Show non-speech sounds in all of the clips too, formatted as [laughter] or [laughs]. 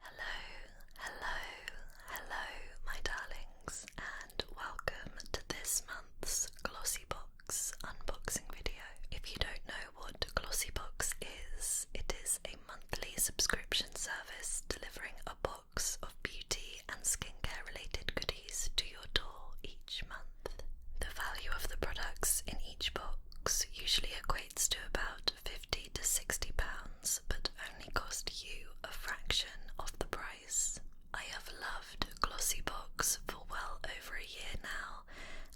Hello, hello, hello, my darlings, and welcome to this month's Glossybox unboxing video. If you don't know what Glossybox is, it is a monthly subscription service delivering a box of beauty and skincare related goodies to your door each month. The value of the products in each box usually equates to about 50 to 60 pounds, but only cost you a fraction of the price. I have loved Glossy for well over a year now,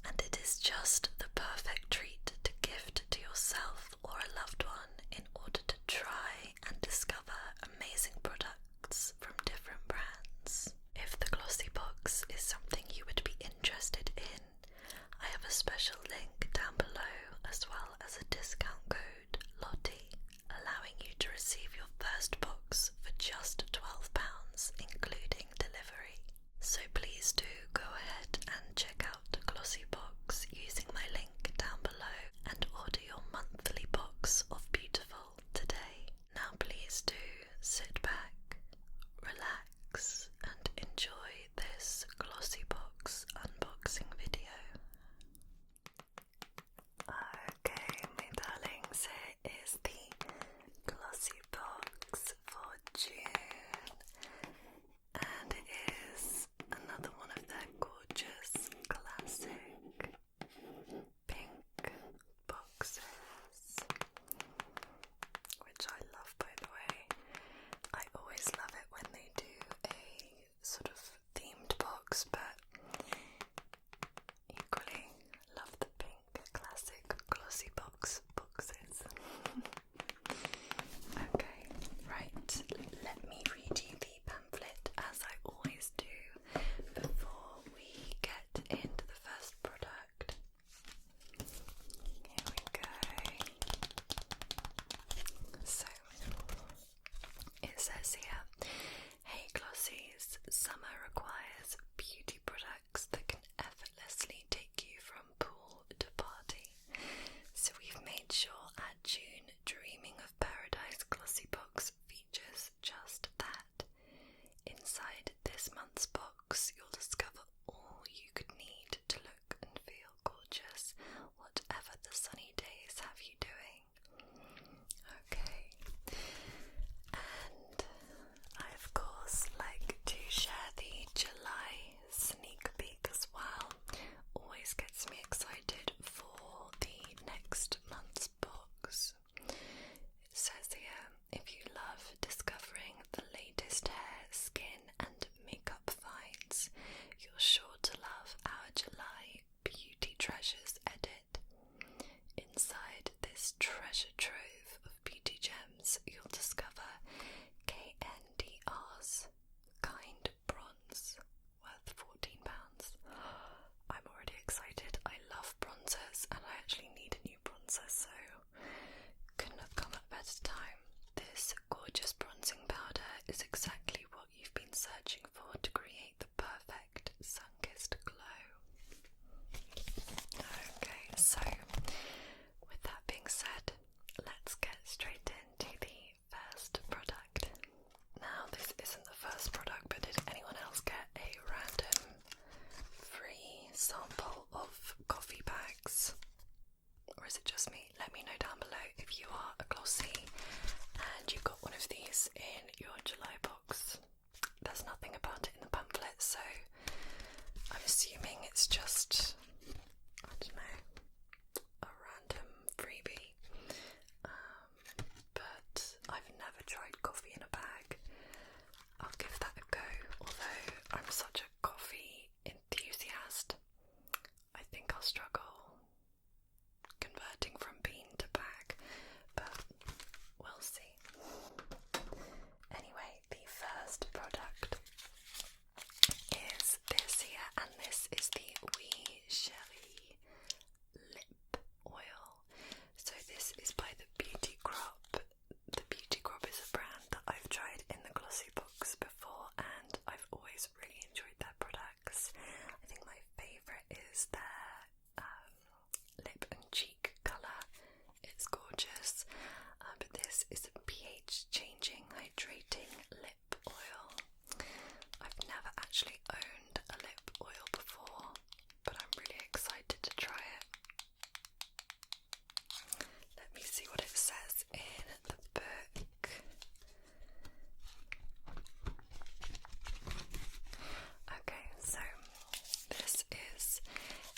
and it is just the perfect treat to gift to yourself or a loved one in order to try and discover amazing products from different brands. If the Glossy is something you would be interested in, I have a special link down below as well as a discount code Lottie allowing you to receive your first box for just £12 including delivery. So please do go ahead and check out Glossy Box using my link down below and order your monthly box of beautiful today. Now please do sit back, relax and enjoy this glossy box unboxing video. Okay, my darlings, here is the glossy box for June, and it is another one of their gorgeous classic pink boxes, which I love by the way. I always love it when they do a sort of themed box, but equally love the pink classic glossy box boxes. [laughs] okay, right, let me read you the pamphlet as I always do before we get into the first product. Here we go. So it says here, hey glossies, summer requires beauty products that can effortlessly take you from pool to party. So we've made sure our June Dreaming of Paradise glossy box features just that. Inside this month's box, you'll discover all you could need to look and feel gorgeous, whatever the sunny days have you doing. Okay, and I, of course, like to share the July sneak peek as well. Always gets me excited for the next month's books. It says here if you love discovering the latest hair, skin, fashion and makeup finds, you're sure to love our July Beauty Treasures edit. Inside this treasure trove of beauty gems, you'll discover KNDR's kind bronze worth £14. [gasps] I'm already excited. I love bronzers and I actually need a new bronzer, so couldn't have come at a better time this gorgeous bronzing powder is exactly what you've been searching for to create the perfect sun-kissed glow. Okay, so with that being said, let's get straight into the first product. Now, this isn't the first product, but did anyone else get a random free sample of coffee bags? or is it just me? Let me know down below if you are a glossy and you've got one of these in your July box. There's nothing about it in the pamphlet, so I'm assuming it's just, I don't know, a random freebie. Um, but I've never tried coffee in a bag. I'll give that a go, although I'm such a coffee enthusiast, I think I'll struggle converting from bean to bag, but we'll see. Anyway, the first product is this here, and this is the Wee Shelly Lip Oil. So, this is by the Beauty Crop. The Beauty Crop is a brand that I've tried in the glossy and I've always really enjoyed their products. I think my favourite is their um, lip and cheek colour, it's gorgeous. Uh, but this is a pH changing hydrating lip oil. I've never actually owned a lip oil before, but I'm really excited to try it. Let me see what it says in the book. Okay, so this is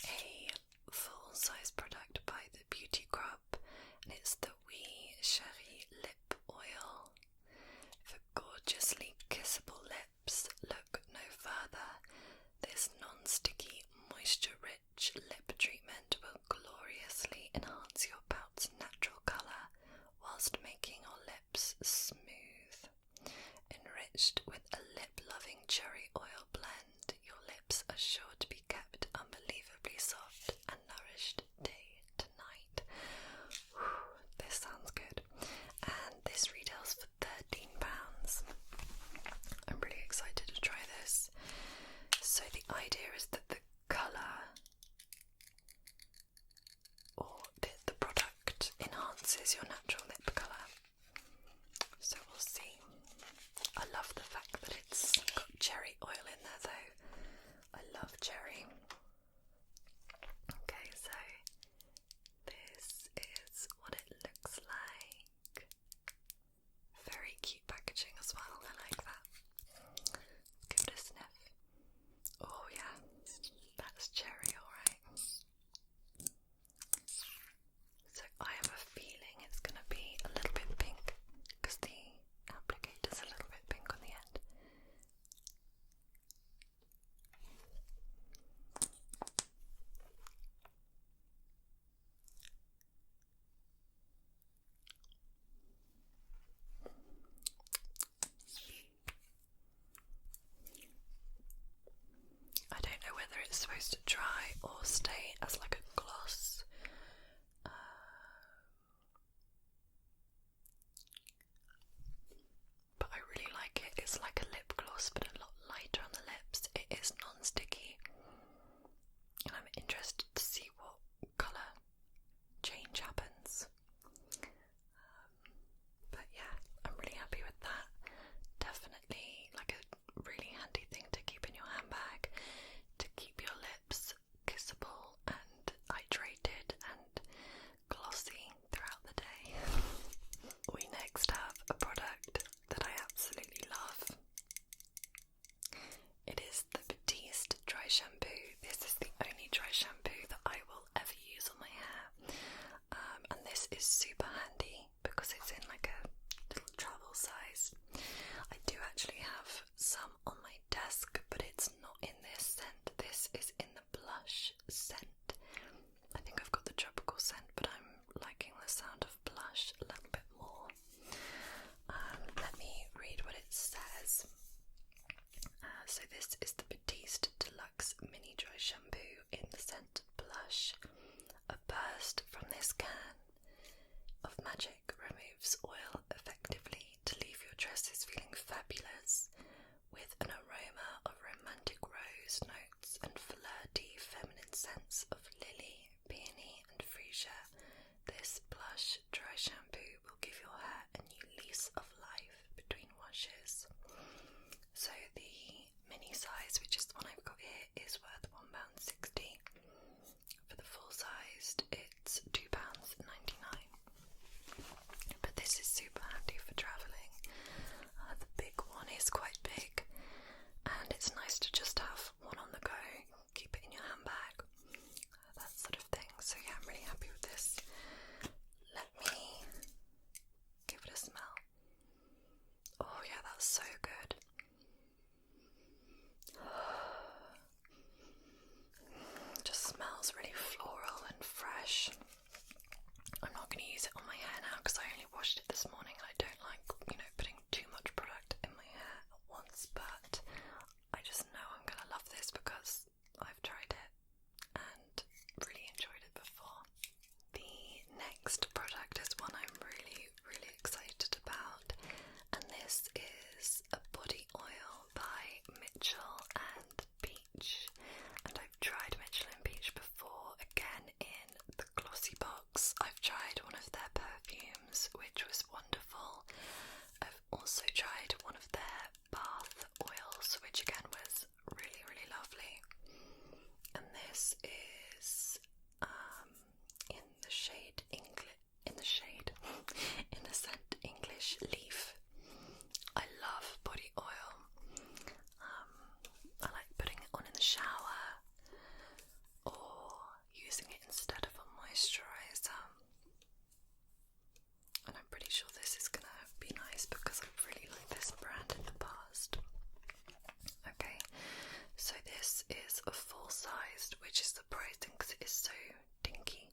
a full size product by the Beauty Crop, and it's the Wee Sherry Lip Oil for gorgeously kissable lips. Look no further. This non sticky moisture rich rich lip treatment will gloriously enhance your pout's natural colour whilst making your lips smooth. Enriched with a lip loving cherry oil blend, your lips are sure to be kept unbelievably soft and nourished day to night. this sounds good. And this retails for £13. I'm really excited to try this. So the idea is that the colour or the, product enhances your natural lip colour. So we'll see. I love the fact that it's got cherry oil in there though. I love cherry. Okay, so this is what it looks like. Very cute packaging as well, I like that. give it a sniff. Oh, yeah, that's cherry, alright. So, I have a feeling it's going to be a little bit pink because the applicator's a little bit pink on the end. I don't know whether it's supposed to dry or stay as like a gloss. Um, but I really like it. It's like a lip gloss, but a lot lighter on the lips. It is non sticky. I'm interested to see what colour change happens. Um, but yeah, I'm really happy with that. Definitely like a really handy thing to keep in your handbag to keep your lips kissable and hydrated and glossy throughout the day. [laughs] we next have a product that I absolutely love. It is the Batiste Dry Shampoo. This is the only dry shampoo that I will ever use on my hair. Um, and this is super handy because it's in like a little travel size. I do actually have some on my desk, but it's not in this scent. This is in the blush scent. I think I've got the tropical scent, but I'm liking the sound of blush a little bit more. Um, let me read what it says. Uh, so, this is the Batiste Deluxe Mini Dry Shampoo in the scent Blush. A burst from this can of magic removes oil effectively to leave your dresses feeling fabulous with an aroma of romantic rose notes and flirty feminine scents of lily, Peony and Freesia, this plush dry shampoo will give your hair a new lease of life between washes. So the mini size, which is the one I've got here, is worth £1.60. For the full sized, it's £2.99. But this is super handy for travelling. Uh, the big one is quite big, and it's nice to just have one on the go keep it in your handbag, that sort of thing. So, yeah, I'm really happy with this. Let me give it a smell. Oh, yeah, that's so good. [sighs] Just smells really floral and fresh. I'm not going to use it on my hair now because I only washed it this morning and I don't like, you know, putting too much product in my hair at once, but I just know I'm gonna love this because I've tried it and really enjoyed it before. The next product is one I'm really, really excited about, and this is a body oil by Mitchell and Beach. And I've tried Mitchell and Beach before, again in the glossy box. I've tried one of their perfumes, which was wonderful. I've also tried one of their bath oils, which again was really, really lovely. And this is um, in the shade English, in the shade, [laughs] in the scent English Leaf. I love body oil. Um, I like putting it on in the shower or using it instead of a moisturizer. And I'm pretty sure this is gonna be nice because I've really liked this brand in the past. Okay, so this is a full sized, which is surprising because it is so dinky.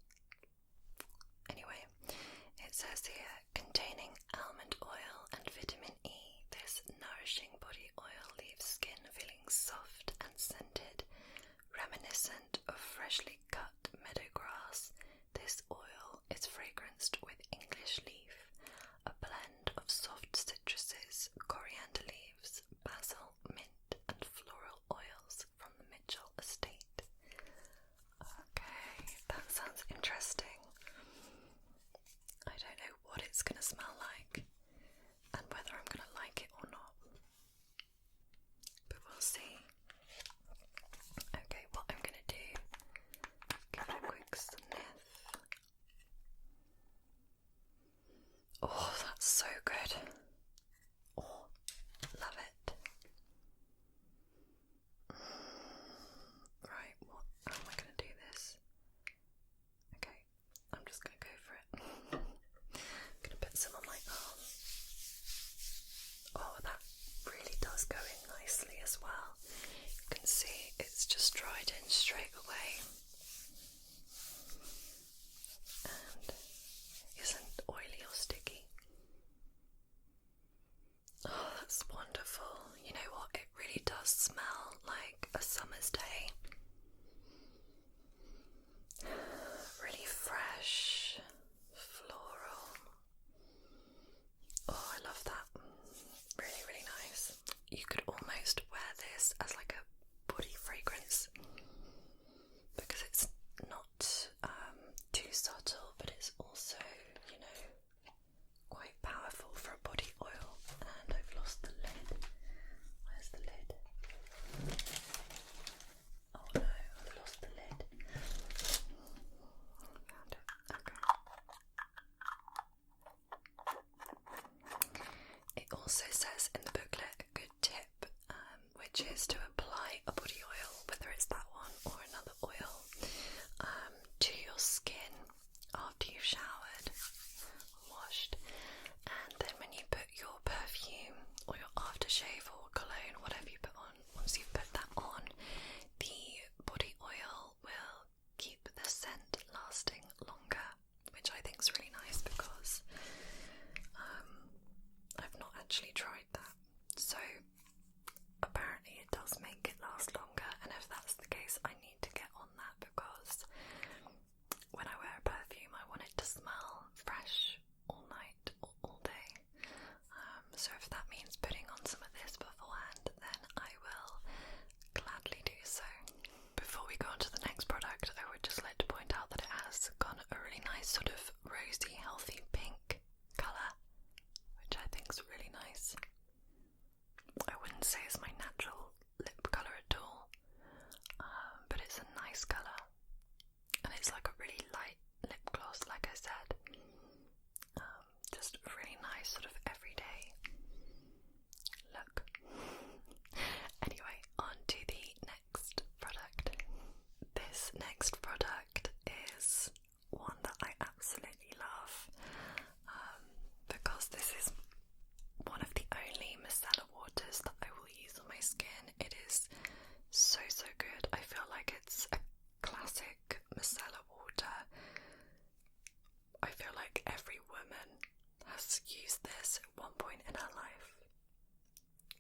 Anyway, it says here containing almond oil and vitamin E, this nourishing body oil leaves skin feeling soft and scented, reminiscent of freshly cut meadow grass. This oil is fragranced with English leaf, a blend of soft citruses, coriander leaves, basil, mint, and floral oils from the Mitchell estate. Okay, that sounds interesting. I don't know what it's going to smell like and whether I'm going to like it or not. But we'll see. Okay, what I'm going to do, give it a quick sniff. Oh, that's so good. Oh, love it. right, what am I going to do this? Okay, I'm just going to go for it. I'm going to put some on my arm. Oh, that really does go in nicely as well. You can see it's just dried in straight away. And isn't oily or sticky. Oh, that's wonderful. You know what? It really does smell like a summer's day. Really fresh, floral. Oh, I love that. Really, really nice. You could almost wear this as like a body fragrance because it's not um, too subtle, but it's also, you know, quite powerful for a body oil and I've lost the lid. Where's the lid? Oh no, I've lost the lid. Found it. Okay. It also says in the booklet a good tip, um, which is to apply a body oil, whether it's that one or another oil, um, to your skin after you've showered, washed, and then when you put your perfume or your aftershave or cologne, whatever you put on, once you put that on, the body oil will keep the scent lasting longer, which I think is really nice because um, I've not actually tried that. So apparently it does make it last longer, and if that's the case, I need to get on that because when I wear perfume, I want it to smell fresh all night or all day. Um, so if that means putting on some of this beforehand, then I will gladly do so. Before we go on to the next product, I would just like to point out that it has got a really nice sort of rosy, healthy pink colour, which I think is really nice. I wouldn't say it's my natural lip colour at all, um, but it's a nice colour and it's like a really light lip gloss, like I said. Um, just really nice, sort of everyday look. [laughs] anyway, on to the next product. This next product is one that I absolutely love um, because this is one of the only micellar waters that I will use on my skin. It is so so good. I feel like it's a classic micellar water. I feel like every woman has used this at one point in her life.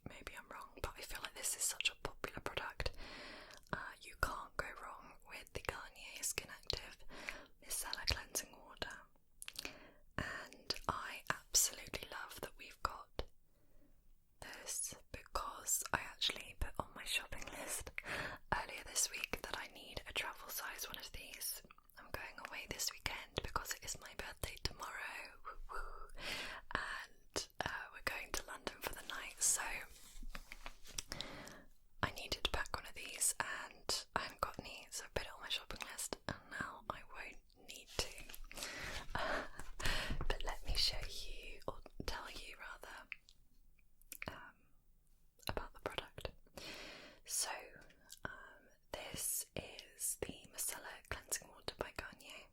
Maybe I'm wrong, but I feel like this is such a popular product. Uh, you can't go wrong with the Garnier Skin Active Micellar Cleansing Water and I absolutely love that we've got this because I actually put on my shopping list earlier this week that I need a travel size one of these. I'm going away this weekend because it is my birthday tomorrow, and uh, we're going to London for the night, so I needed to pack one of these and I haven't got any, so I put it on my shopping list and now I won't need to. [laughs] but let me show you, or tell you rather, um, about the product. So, um, this is the Micellar Cleansing Water by Garnier,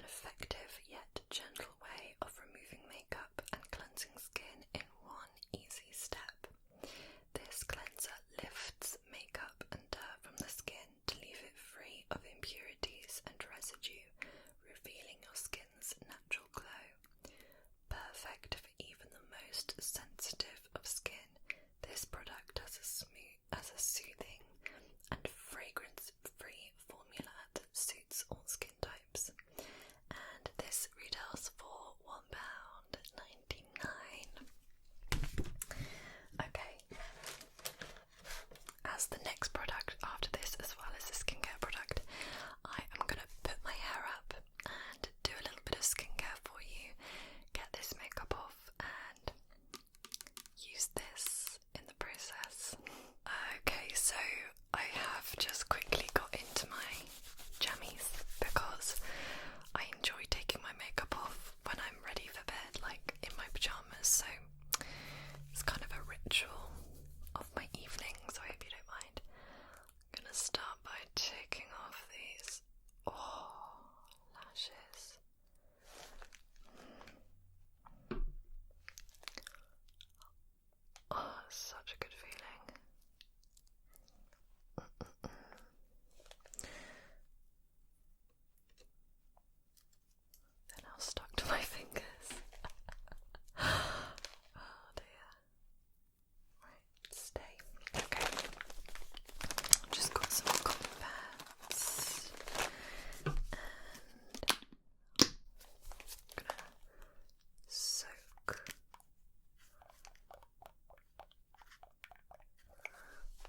an effective yet gentle way of removing makeup and cleansing skin in one easy step. This cleanser lifts makeup and dirt from the skin to leave it free of impurities and residue, revealing your skin's natural glow. Perfect for even the most sensitive of skin, this product has a smooth, has a soothing and fragrance-free formula that suits all skin types and this retails for £1.99. Okay, as the next product after this, as well as the skincare product, I am going to put my hair up and do a little bit of skincare for you, get this makeup off, and use this in the process. Okay, so I have just quickly got into my jammies because I enjoy taking my makeup off when I'm ready for bed, like in my pajamas. So it's kind of a ritual of my evening. So I hope you don't mind. I'm gonna start by taking off these oh lashes. Oh, such a good feeling i are now stuck to my [laughs] fingers. oh dear. Right, stay. Okay. just got some cotton pads. And I'm gonna soak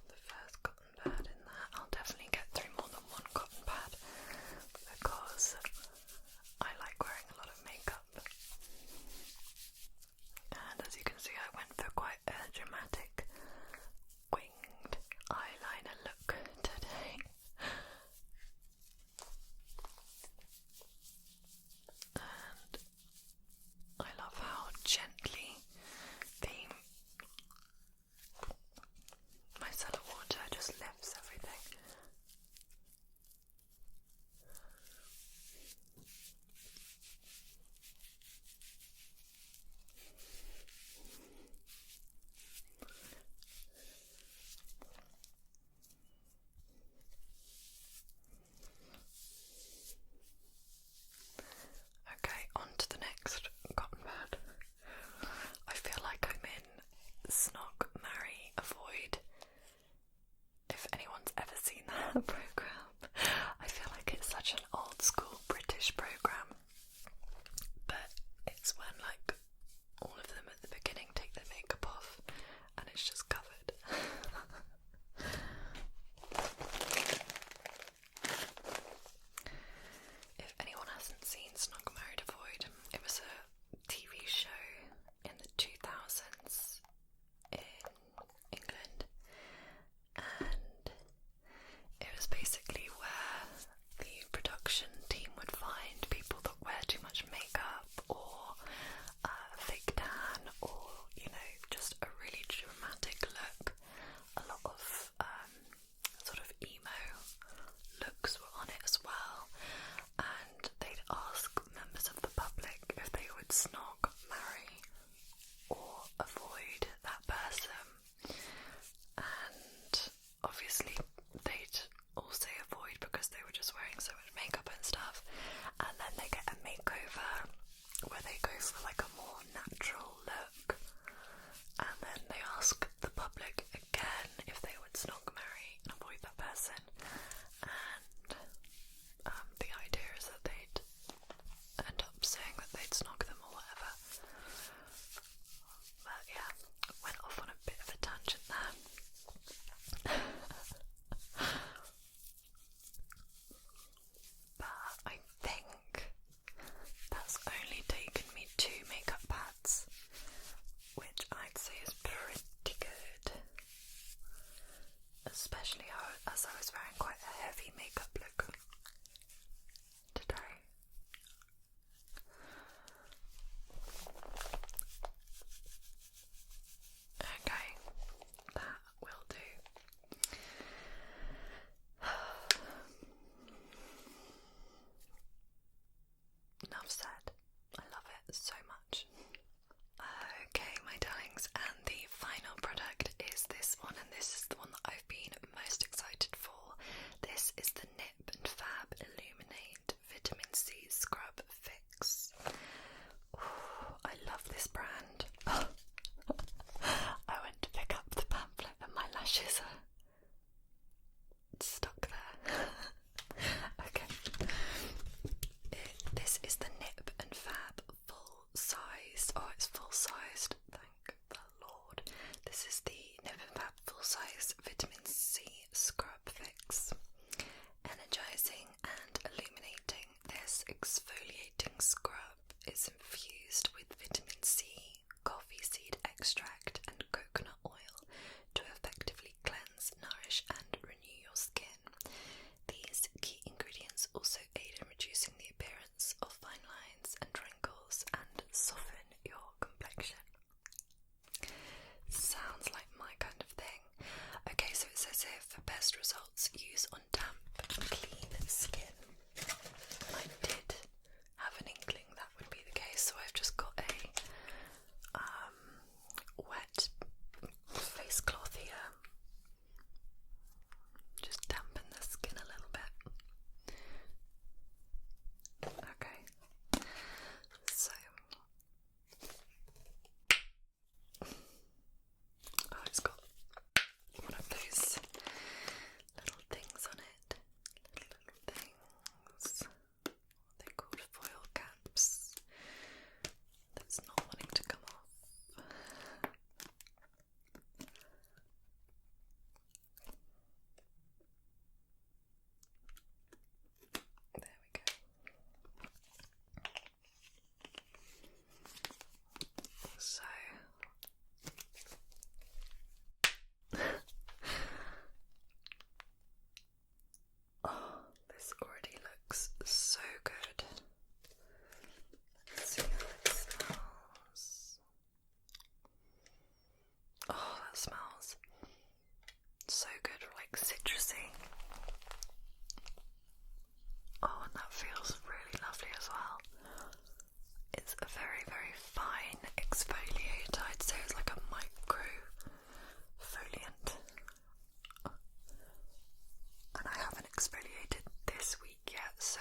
the first cotton pad in there. I'll definitely get through more than one cotton pad because I like wearing a lot of makeup. And as you can see, I went for quite a dramatic winged eyeliner look today. [laughs] And I love how gently the micellar water just lifts everything. Okay, on to the next cotton pad. I feel like I'm in Snog, Marry, Avoid. If anyone's ever seen that [laughs] program, I feel like it's such an old school British program. But it's when like all of them at the beginning take their makeup off and it's just covered. [laughs] if anyone hasn't seen Snug Married Avoid, it was a TV show in the 2000s in England, and it was basically where the production team would find people that wear too much makeup makeup or uh, fake tan or, you know, just a really dramatic look. A lot of um, sort of emo looks were on it as well. And they'd ask members of the public if they would snog, marry, or avoid that person. And obviously, they'd all say avoid because they were just wearing so and makeup and stuff, and then they get a makeover where they go for like a more natural look, and then they ask the public again if they would snog, marry, and avoid that person, and um, the idea is that they'd end up saying that they'd snog them or whatever. But yeah, went off on a bit of a tangent there. [laughs] But I think that's only taken me two makeup pads, which I'd say is pretty good. Especially as I was wearing quite a heavy makeup look today. Okay, that will do. [sighs] Enough said. I love it so much. Okay, my darlings, and the final product is this one, and this is the one that I've been most excited for. This is the Nip and Fab Illuminate Vitamin C Scrub Fix. I love this brand. [gasps] I went to pick up the pamphlet and my lashes are stuck there. [laughs] okay. this is the Nip and Fab full size. Oh, it's full sized. Thank the Lord. This is the Nip and Fab full size vitamin C scrub. Theraplex, energizing and illuminating. This exfoliating scrub is infused with vitamin C, coffee seed extract, and coconut oil to effectively cleanse, nourish, and renew your skin. These key ingredients also aid in reducing the appearance of fine lines and wrinkles and soften your complexion. Sounds like my kind of thing. Okay, so it says here for best results, use on damp, clean skin. I did have an inkling that would be the case, so I've just got a um, wet face cloth here. Just dampen the skin a little bit. Okay, so Oh, it's got one of those little things on it. Little, things. What are called? Foil caps. That's not wanting to come off. There we go. So [laughs] oh, this already looks so good. see how it smells. Oh, that smells it's so good, like citrusy. Oh, and that feels really lovely as well. It's a very, very fine exfoliate. I'd say it's like a micro And I haven't exfoliated this week yet, so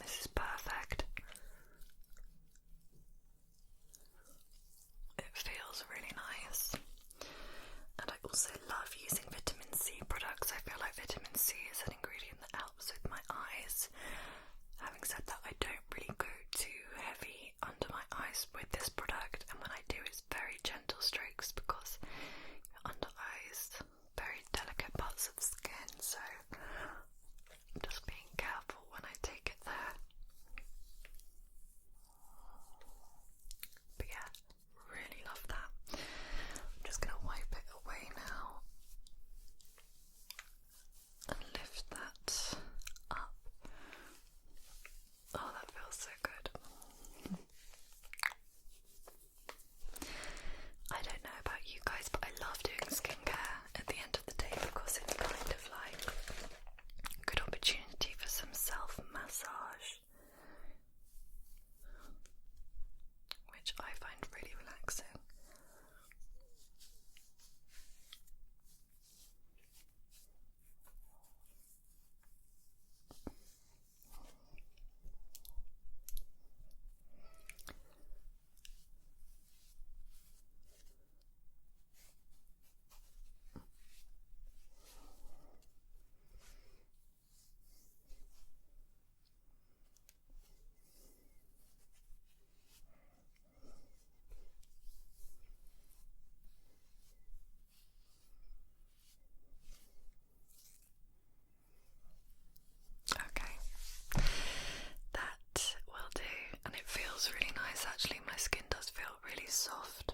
this is perfect. It feels really nice. And I also love using vitamin C products. I feel like vitamin C is an ingredient that helps with my eyes. Having said that, I don't really go too heavy under my eyes with this product, and what I do, is very gentle strokes because under eyes, very delicate parts of skin, so I'm just being careful when I take it there. But yeah, really love that. I'm just going to wipe it away now and lift that up. Oh, that feels so good. I don't know about you guys, but I love doing skincare at the end of the day because it's kind of like Good opportunity for some self massage, which I find really relaxing. Okay, that will do, and it feels really nice actually. My skin does feel really soft.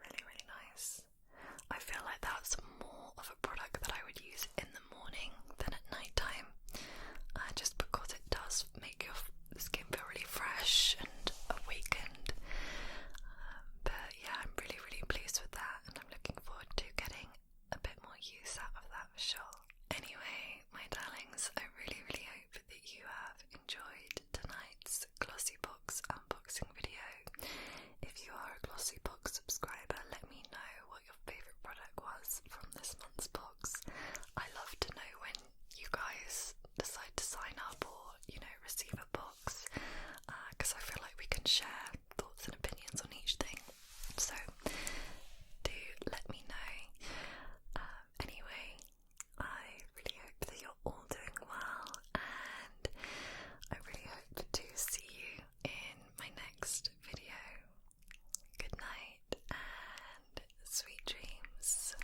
Really, really nice. I feel like that's more of a product that I would use in the morning than at night time, uh, just because it does make your skin feel really fresh and awakened. Um, but yeah, I'm really, really pleased with that, and I'm looking forward to getting a bit more use out of that for sure. Anyway, my darlings, I really, really hope that you have enjoyed tonight's Glossybox unboxing video. If you are a Glossybox subscriber, let me know what your favourite product was from this month's box. I love to know when you guys decide to sign up or, you know, receive a box because uh, I feel like we can share thoughts and opinions on each thing. So, do let me know. Uh, anyway, I really hope that you're all doing well, and I really hope to see you in my next video. Good night and sweet dreams.